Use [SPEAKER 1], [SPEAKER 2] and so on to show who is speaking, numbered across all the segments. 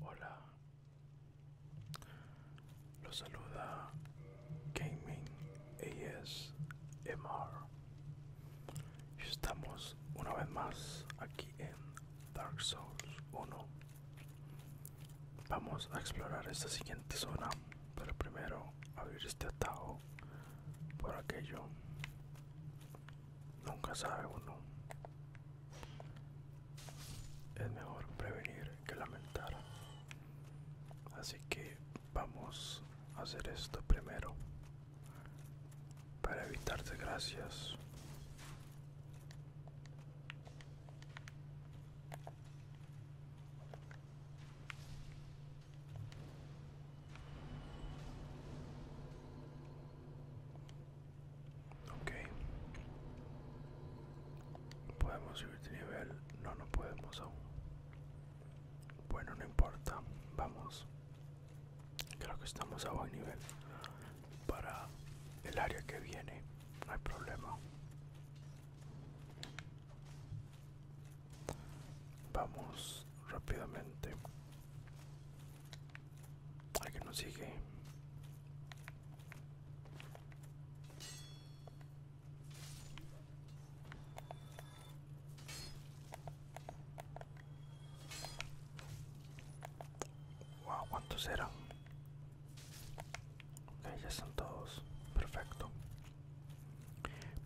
[SPEAKER 1] Hola, los saluda Gaming ASMR. Estamos una vez más aquí en Dark Souls 1. Vamos a explorar esta siguiente zona, pero primero abrir este atajo por aquello. Nunca sabe uno. Es mejor prevenir que lamentar. Así que vamos a hacer esto primero. Para evitar desgracias. Ok. ¿Podemos subir de nivel? No, no podemos aún. Bueno, no importa. Vamos. Creo que estamos a buen nivel. Para el área que viene, no hay problema. Vamos rápidamente que nos sigue. Wow, ¿cuántos eran? Ok, ya están todos. Perfecto.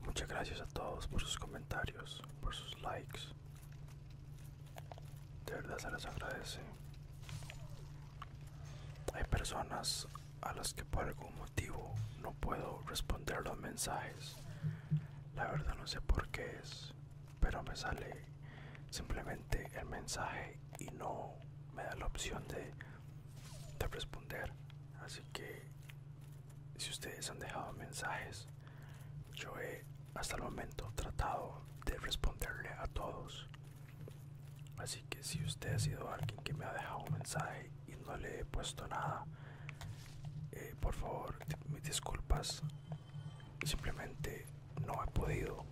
[SPEAKER 1] Muchas gracias a todos por sus comentarios, por sus likes, de verdad se les agradece. Hay personas a las que por algún motivo no puedo responder los mensajes. La verdad no sé por qué es, pero me sale simplemente el mensaje y no me da la opción de responder. Así que si ustedes han dejado mensajes, yo he hasta el momento tratado de responderle a todos. Así que si usted ha sido alguien que me ha dejado un mensaje y no le he puesto nada, eh, por favor, mis disculpas. Simplemente no he podido.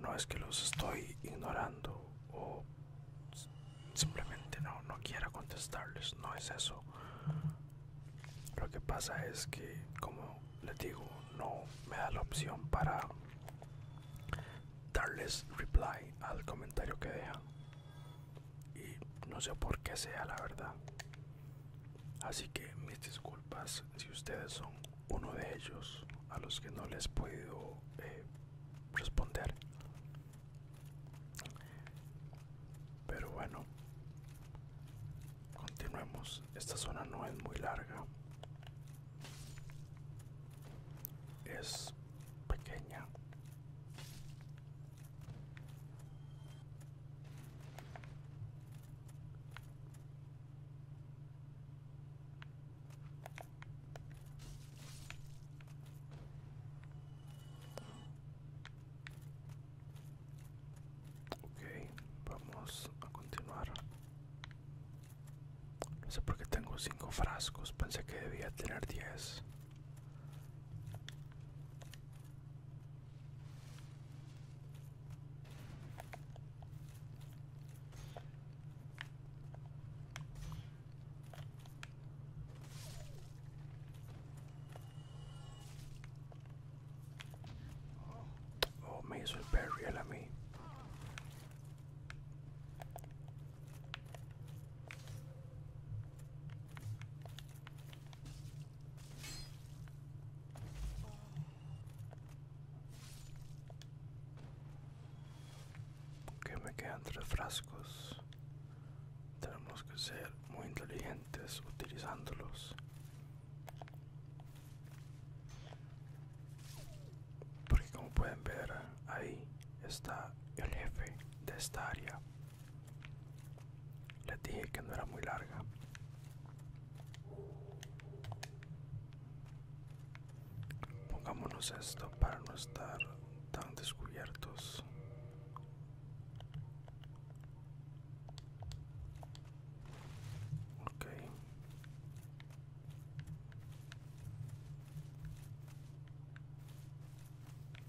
[SPEAKER 1] No es que los estoy ignorando o simplemente no, no quiera contestarles. No es eso lo que pasa es que como les digo no me da la opción para darles reply al comentario que dejan y no sé por qué sea la verdad así que mis disculpas si ustedes son uno de ellos a los que no les puedo eh, responder pero bueno, continuemos. Esta zona no es muy larga. Es pequeña. Ok, vamos a continuar. No sé por qué tengo cinco frascos, pensé que debía tener 10. Oh, may as well bury me. Okay, me quedan tres frascos. tenemos que ser muy inteligentes utilizándolos porque como pueden ver ahí está el jefe de esta área les dije que no era muy larga pongámonos esto para no estar tan descubiertos ok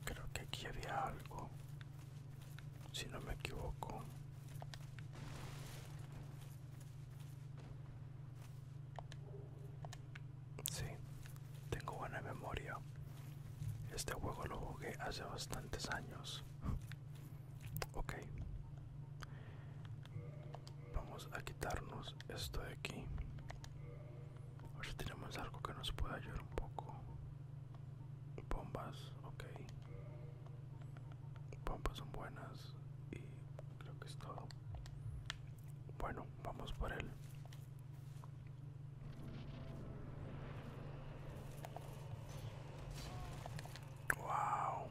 [SPEAKER 1] creo que aquí había algo si no me equivoco sí Tengo buena memoria. Este juego lo jugué hace bastantes años. Ok. Vamos a quitarnos esto de aquí. Ahora tenemos algo que nos pueda ayudar un poco. Bombas, ok. Bombas son buenas y creo que es todo. Bueno, vamos por él. Wow.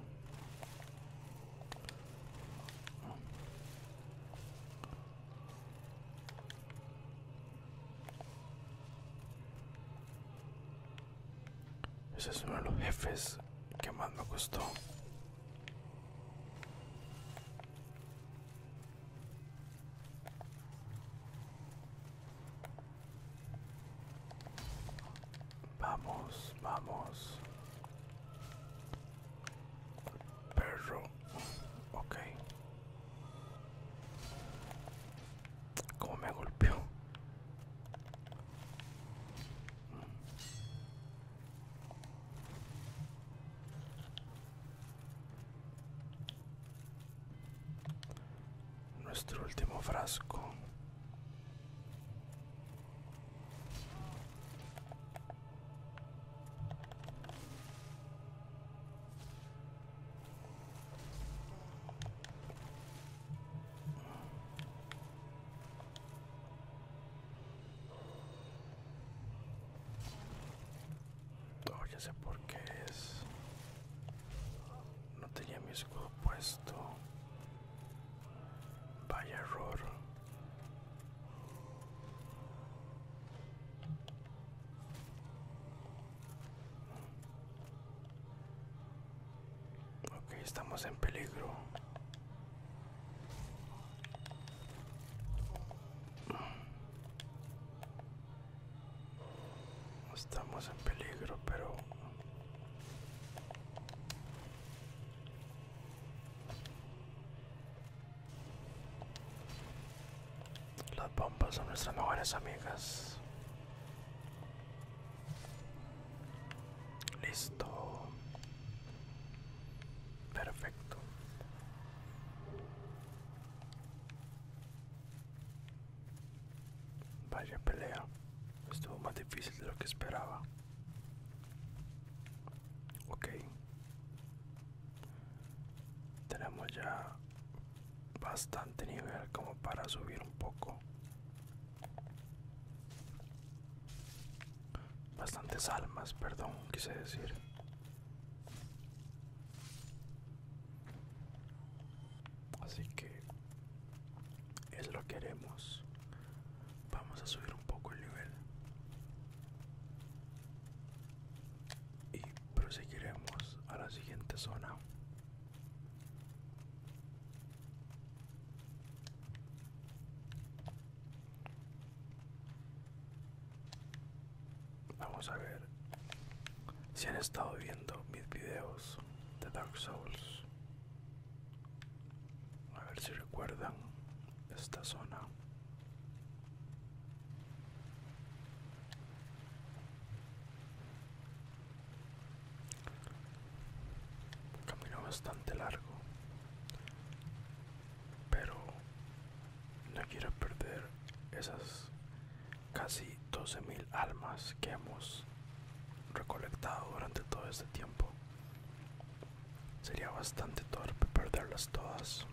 [SPEAKER 1] Ese es uno de los jefes que más me gustó. Vamos, vamos. Perro. Ok. Cómo me golpeó. Nuestro último frasco. No, ya sé por qué es. No tenía mi escudo puesto. Vaya error. Ok, estamos en peligro estamos en peligro, pero... Las bombas son nuestras mejores amigas. Listo. Perfecto. Vaya pelea, estuvo más difícil de lo que esperaba. Ok, tenemos ya bastante nivel como para subir un poco. Bastantes almas, perdón, quise decir. Así que es lo que queremos. Vamos a subir un poco el nivel. Y proseguiremos a la siguiente zona. Vamos a ver si han estado viendo mis videos de Dark Souls. A ver si recuerdan esta zona. Camino bastante largo pero no quiero perder esas casi 12.000 almas que hemos recolectado durante todo este tiempo. Sería bastante torpe perderlas todas.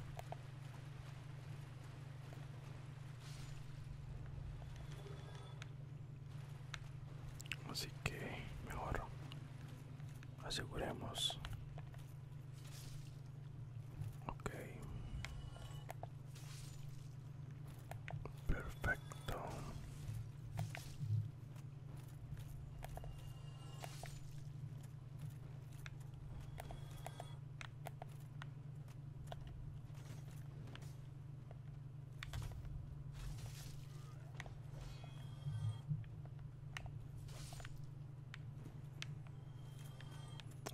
[SPEAKER 1] Así que mejor aseguremos Ok. Perfecto.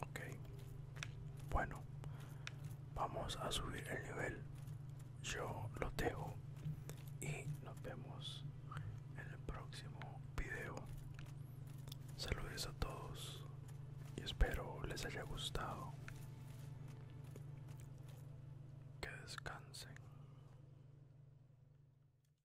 [SPEAKER 1] Ok. Bueno. Vamos a subir el nivel. Yo lo dejo. Y nos vemos en el próximo video. Saludos a todos. Y espero les haya gustado. Que descansen.